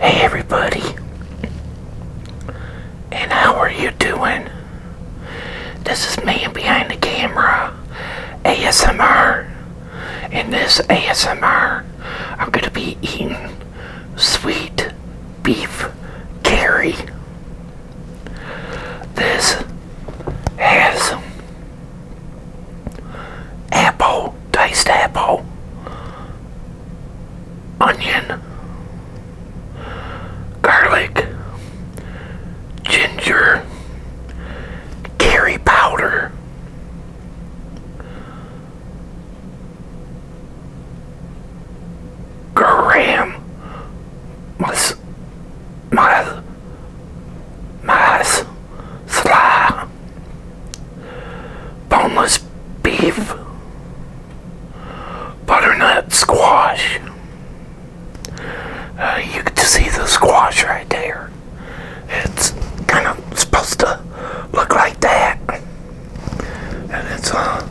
Hey everybody, and how are you doing? This is man behind the camera, ASMR. In this ASMR, I'm going to be eating sweet beef curry. This has apple, Taste apple, onion, garlic, ginger, curry powder, Graham, my, my Mas Sla Boneless Beef Butternut Squash uh, You can see the squash right there. It's kind of supposed to look like that. And it's uh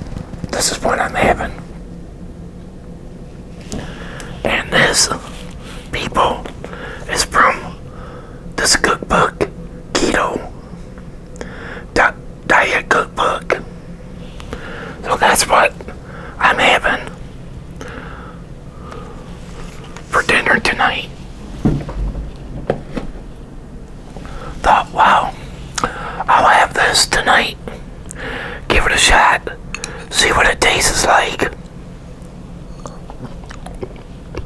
this is what I'm having. And this people is from this cookbook, keto diet cookbook. So that's what I'm having for dinner tonight. Thought, wow, I'll have this tonight. Give it a shot. See what it tastes like.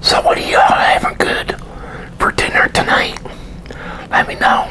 So what are y'all having good for dinner tonight? Let me know.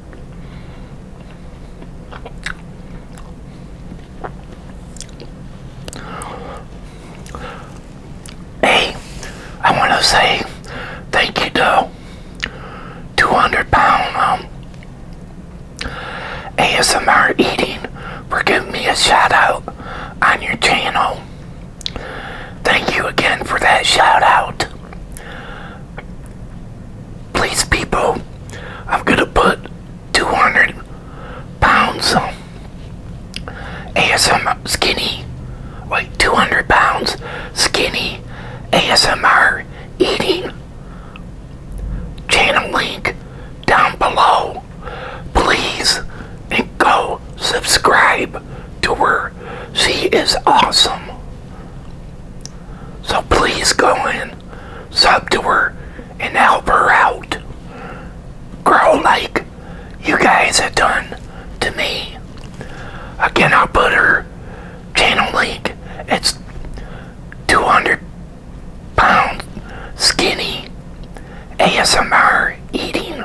Hey, I want to say thank you to 200 pound um, ASMR Eating for giving me a shout out on your channel. Thank you again for that shout out please people I'm gonna put 200 pounds of ASMR skinny like 200 pounds skinny ASMR eating channel link down below please and go subscribe to her she is awesome so please go in sub to her and help her out. girl. like you guys have done to me. Again, I'll put her channel link. It's 200 pound skinny ASMR eating.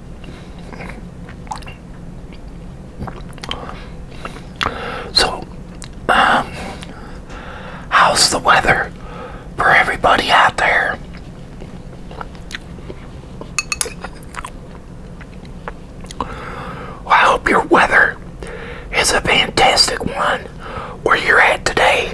So, um, how's the weather for everybody out there? I hope your weather is a fantastic one where you're at today.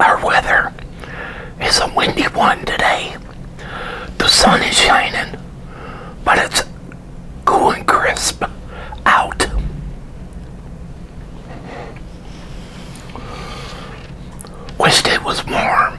our weather is a windy one today. The sun is shining, but it's cool and crisp out. Wished it was warm.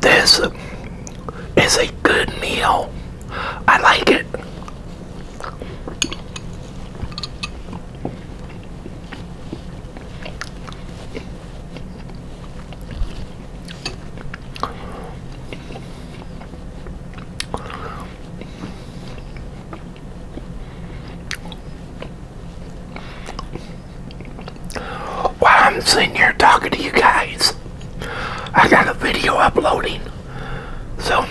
This is a good meal. I like it. While I'm sitting here talking to you guys, I got a video uploading. So,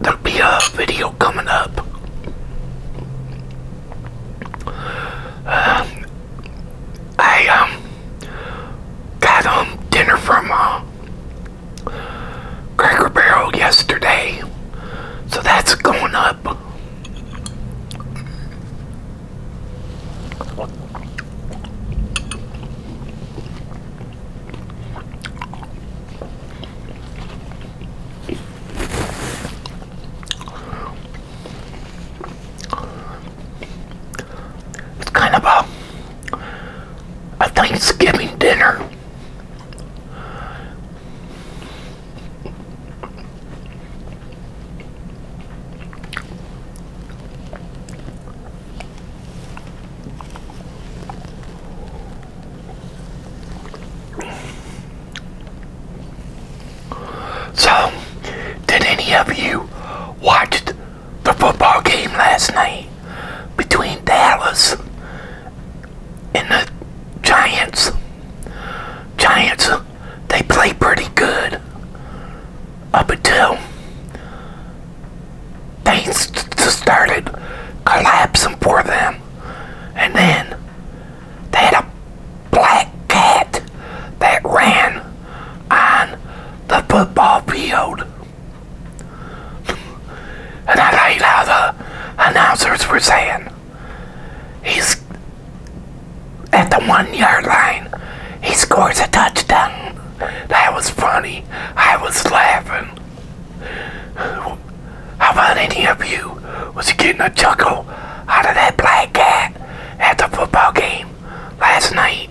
there'll be a video coming up. Um, I um, got um, dinner from uh, Cracker Barrel yesterday. So that's going up. It's kind of a, a Thanksgiving dinner. So, did any of you watch the football game last night between Dallas and the Giants. Giants, they play pretty good up until things started collapsing for them. And then they had a black cat that ran on the football field and I liked how the announcers were saying he's at the one yard line. He scores a touchdown. That was funny. I was laughing. How about any of you? Was getting a chuckle out of that black cat at the football game last night?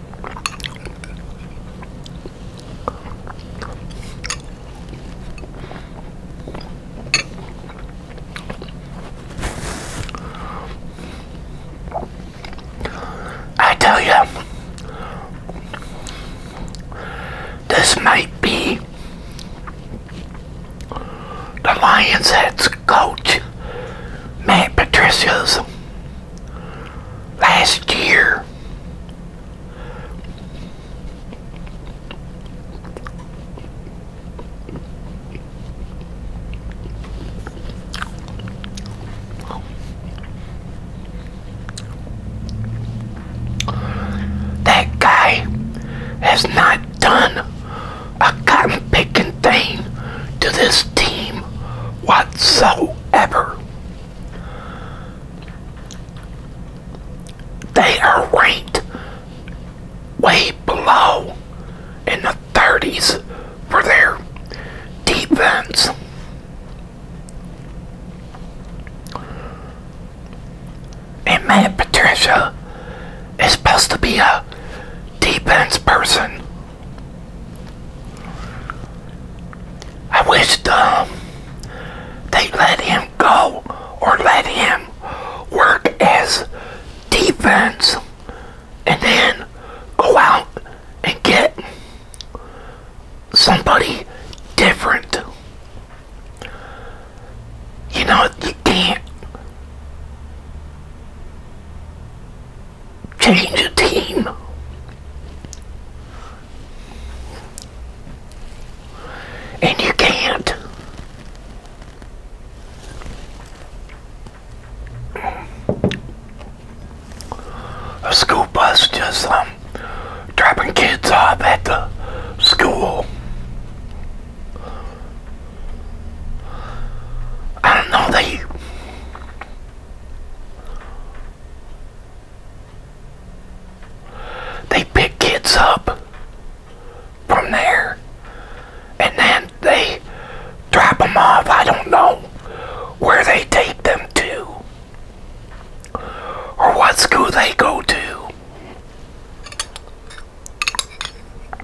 I tell you, this might be the Lions' head coach, Matt Patricia's last year. That guy has not done a cotton picking thing to this team whatsoever. They are ranked way below in the 30s for their defense. And Matt Patricia is supposed to be a defense person. I wish um, they let him go or let him work as defense and then go out and get somebody different. You know, you can't change a team. And you can't. A school bus just um, dropping kids off at the school. I don't know, they they pick kids up from there and then they drop them off. I don't know where they take them to or what school they go to.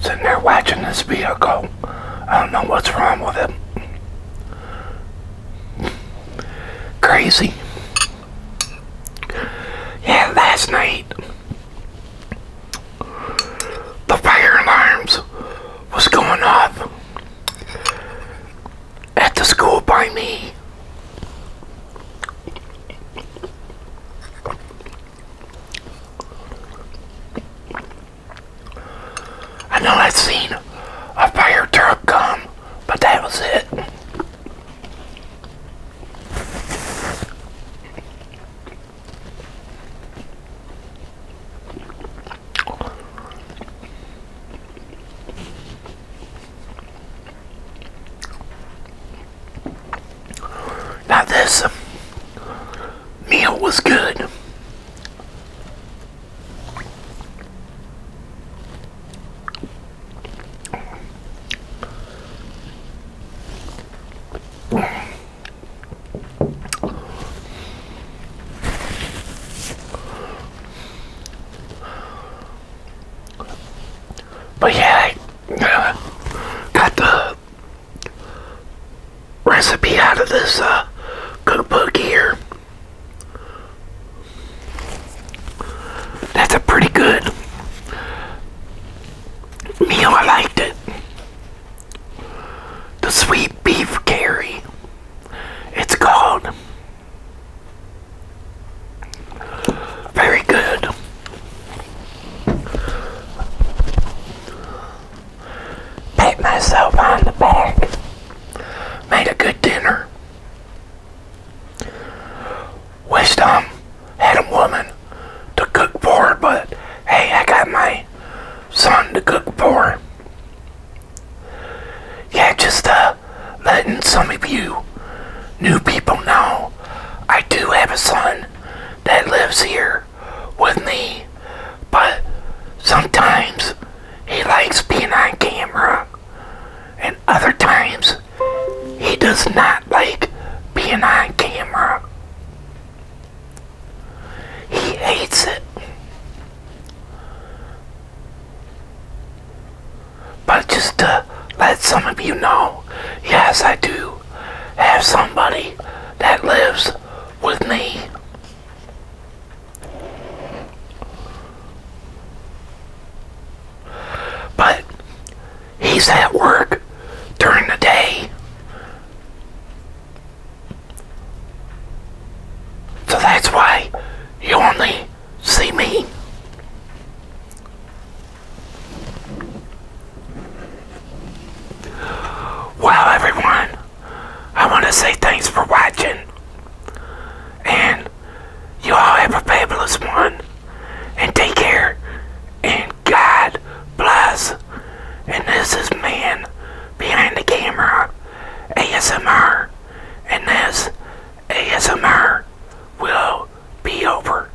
Sitting there watching this vehicle. I don't know what's wrong with it. Crazy. Yeah, last night the fire alarms was going off at the school by me. I know I've seen a fire truck come, but that was it. Now this meal was good. But yeah, uh, got the recipe out of this uh, cookbook here. That's a pretty good meal. I liked it. The sweet beef curry. It's called. Very good. Pat myself on the back. Made a good dinner. Wished um, had a woman to cook for, but hey, I got my son to cook for. Yeah, just uh, letting some of you new people know I do have a son that lives here with me, but sometimes he likes being on camera, and other times he does not like being on camera. He hates it. But just to let some of you know, yes, I do have somebody that lives with me. But he's at work during the day. So that's why you only see me. Well, everyone, I want to say thanks for watching. And you all have a fabulous one. And take care. And God bless. And this is Man Behind the Camera ASMR. And this ASMR will be over.